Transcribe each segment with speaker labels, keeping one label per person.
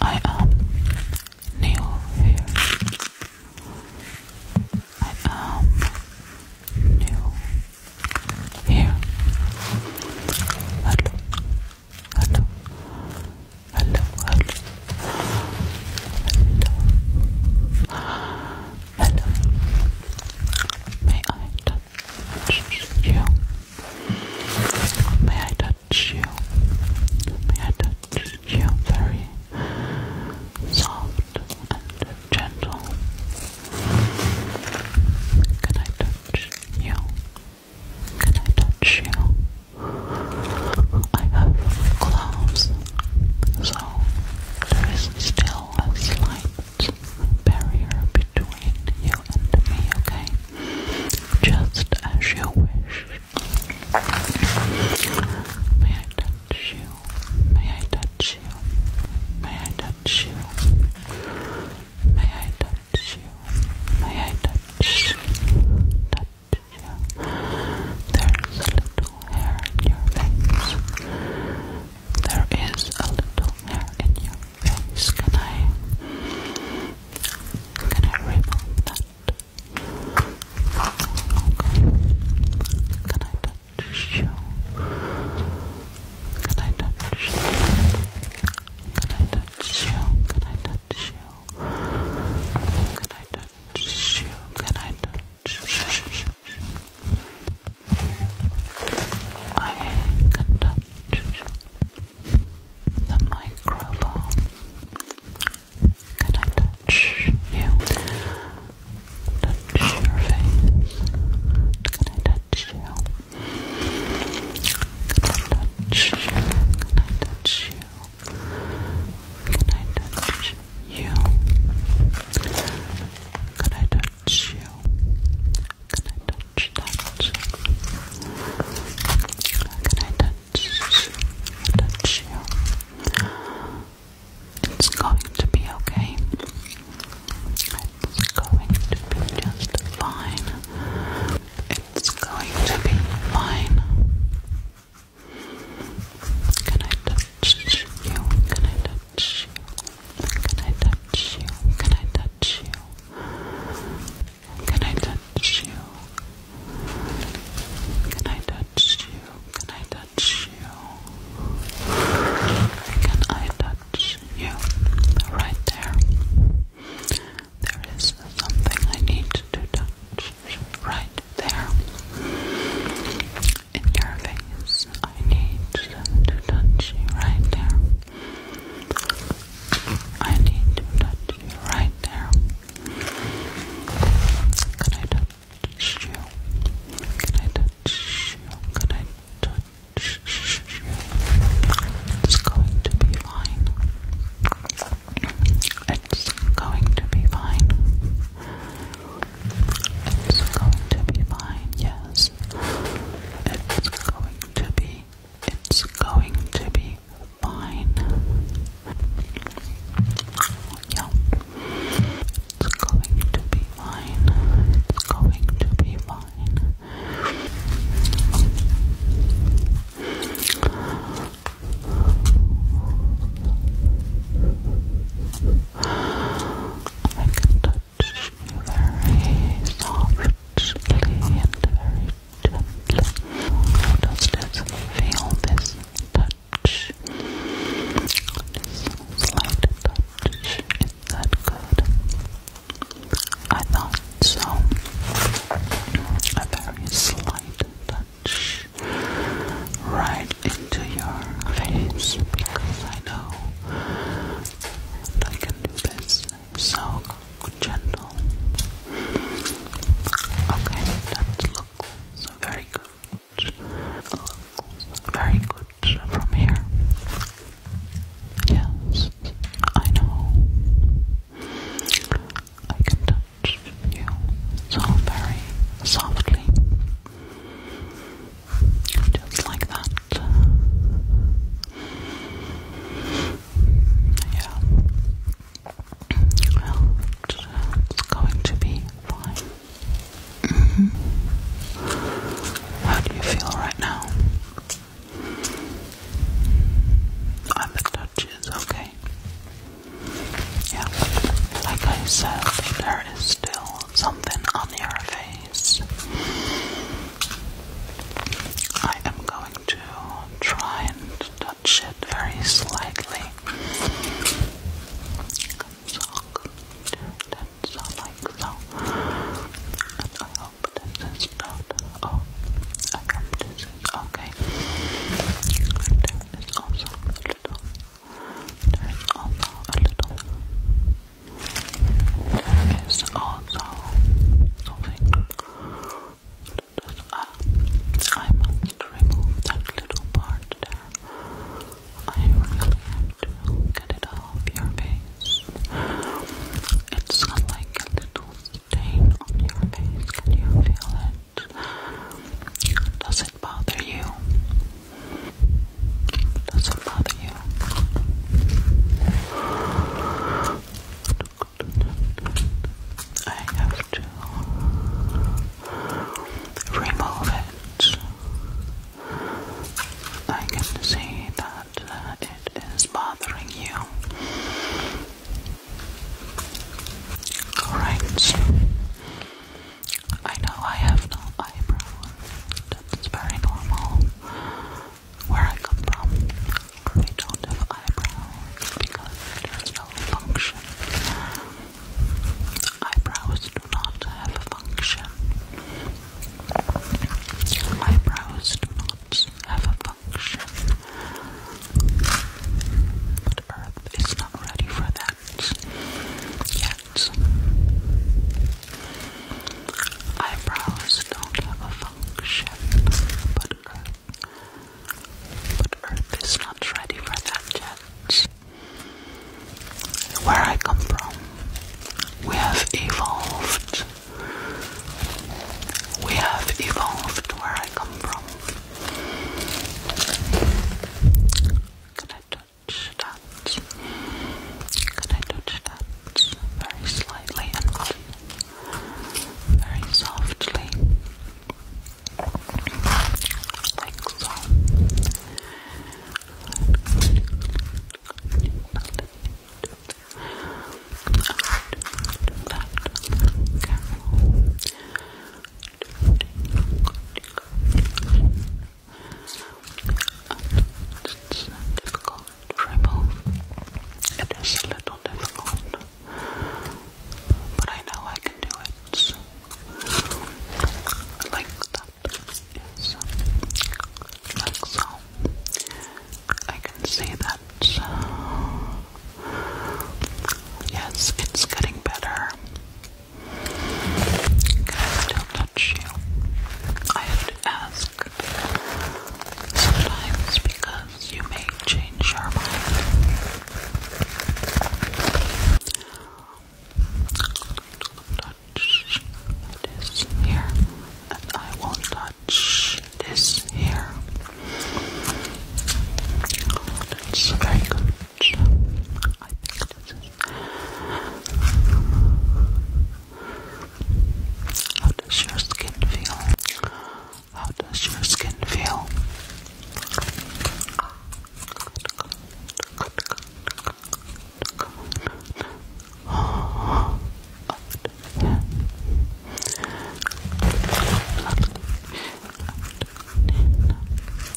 Speaker 1: I am new here. I am new here. hello, hello, hello, hello. hello. May I touch you? May I touch touch you? May I touch you very soft and gentle? Can I touch you? Can I touch you? I have gloves, so there is still a slight barrier between you and me, okay? just as you wish. May I touch you? May I touch you? May I touch you? May I touch you? May I touch Touch you. There's a little hair in your face. There is a little hair in your can I? Can I remove that? Okay. Can I touch you? Can I touch you? Can I touch you? Can I touch you? Can I touch you? Can I touch you? I can I touch you the microphone. Can I touch you? Touch Can I touch you? Can I touch you? Can I touch you? Can I touch you? Can I touch touch you? Can I touch, touch? Can I touch, touch you? It's going to be okay. It's going to be just fine. It's going to be fine. Can I touch you? Can I touch you? Can I touch you? Can I touch you? Can I touch you? Can I touch you? Can I touch you? Can I touch you? Right there. There is something I need to touch. Right there. In your face, I need to touch you right there. I need to touch you right there. Can I touch you? Can I touch you? Can I touch you? It's going to be fine. It's going to be fine. It's going to be fine. Yes, it's going to be it's going to be fine. Yeah. It's going to be fine. It's going to be fine. I can very softly and very gently. How does this feel, this touch? This slight touch, is that good? I thought so. A very slight touch right into your face because I know and I can do this so gentle. Okay, that looks very good. very good from here. Yes, I know. I can touch you so very softly. Just like that. Yeah. Well, it's uh, going to be fine. Mm-hmm. How do you feel right now? And the touch is okay. Yeah, like I said, there is still something on your face. I am going to try and touch it very slightly. So, that's all like so. And I hope this is not. Oh, I hope this okay. And there is also a little there's also a little. There is also something that I must remove that little part there. I really have to get it off your face. It's like a little stain on your face. Can you feel it? Does it bother you? Doesn't bother you. I have to remove it. I can see that uh, it is bothering you. Alright. I know I have no eyebrow. That's very normal. Where I come from, we don't have eyebrows because there is no function. Eyebrows do not have a function. Eyebrows do not have a function. But Earth is not ready for that yet. Eyebrows don't have a function, but but Earth is not ready for that yet. Where I come from, we have evolved. We have evolved where I come from. Can touch that. Can I touch that very slightly and very softly? Like so it's difficult to remove. It is a little difficult, but I know I can do it. So, like that, yes, like so. I can see that. Uh, yes, it's getting better. Can I still touch you? I have to ask sometimes because you may change your mind. Touch this here, and I will touch this here. That's very good. How does your skin feel? How does your skin feel? Can I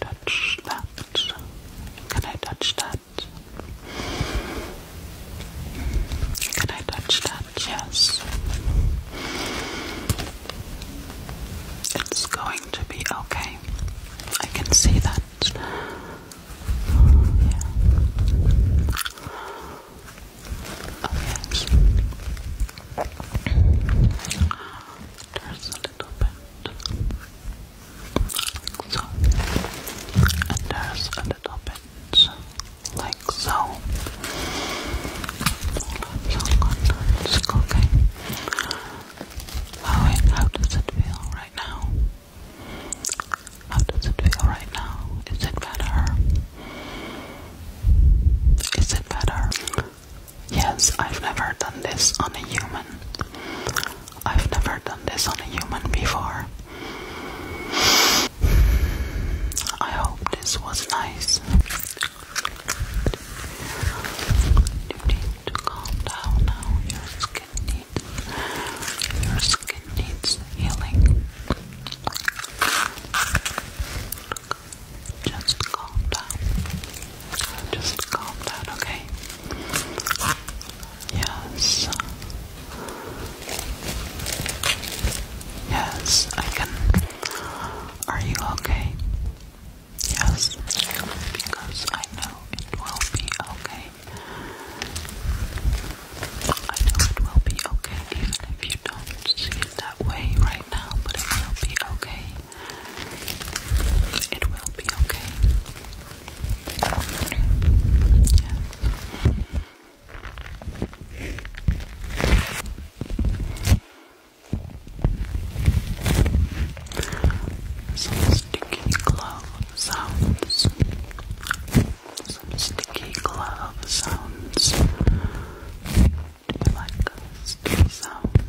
Speaker 1: touch that? Can I touch that? Can I touch that? Yes. It's going to be okay. I can see that. yeah. Oh, There's a little bit. And there's a little bit. Like so. It's okay. How, oh, it, how does it feel right now? How does it feel right now? Is it better? Is it better? Yes, I've never done this on a human. I've never done this on a human before. I hope this was nice. You need to calm down now. Your skin needs your skin needs healing. Just calm down. Just calm down, okay? Yes. Yes, I can are you okay? Yes, because I know it will be okay. I know it will be okay, even if you don't see it that way right now, but it will be okay. It will be okay. Some sticky glove sounds. Some sticky glove sounds. Do you like sticky sounds?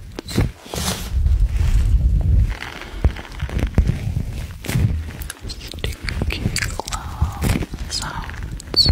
Speaker 1: Sticky glove sounds.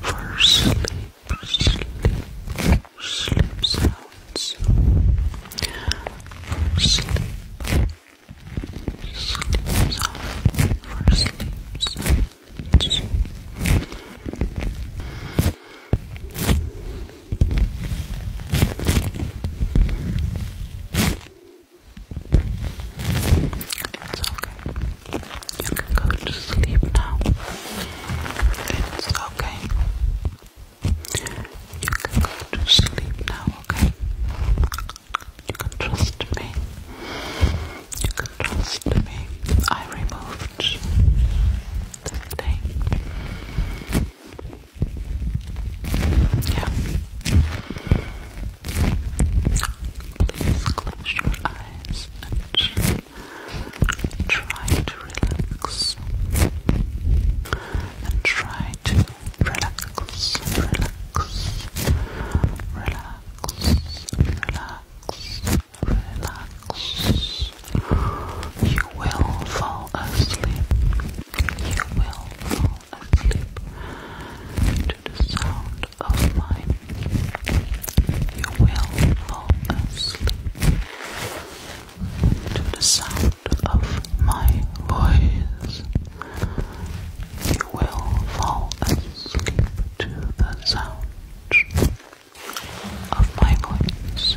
Speaker 1: for sleep, sleep, sleep sounds. For sleep, sleep sounds. It's okay. You can go to sleep now. It's okay. You can go to sleep now, okay? You can trust me. You can trust me. I removed this thing. Yeah. Please close your eyes and try to relax. And try to relax, relax, relax, relax, relax. You will fall asleep. You will fall asleep to the sound of mind, you will fall asleep. To the sound of my voice, you will fall asleep to the sound of my voice.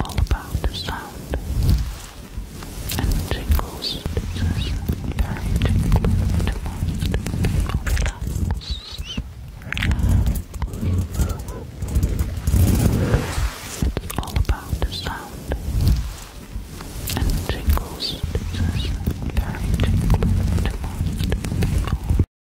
Speaker 1: all about the sound and the tingles. This very tingling to most It's all about the sound and the tingles. This very tingling to most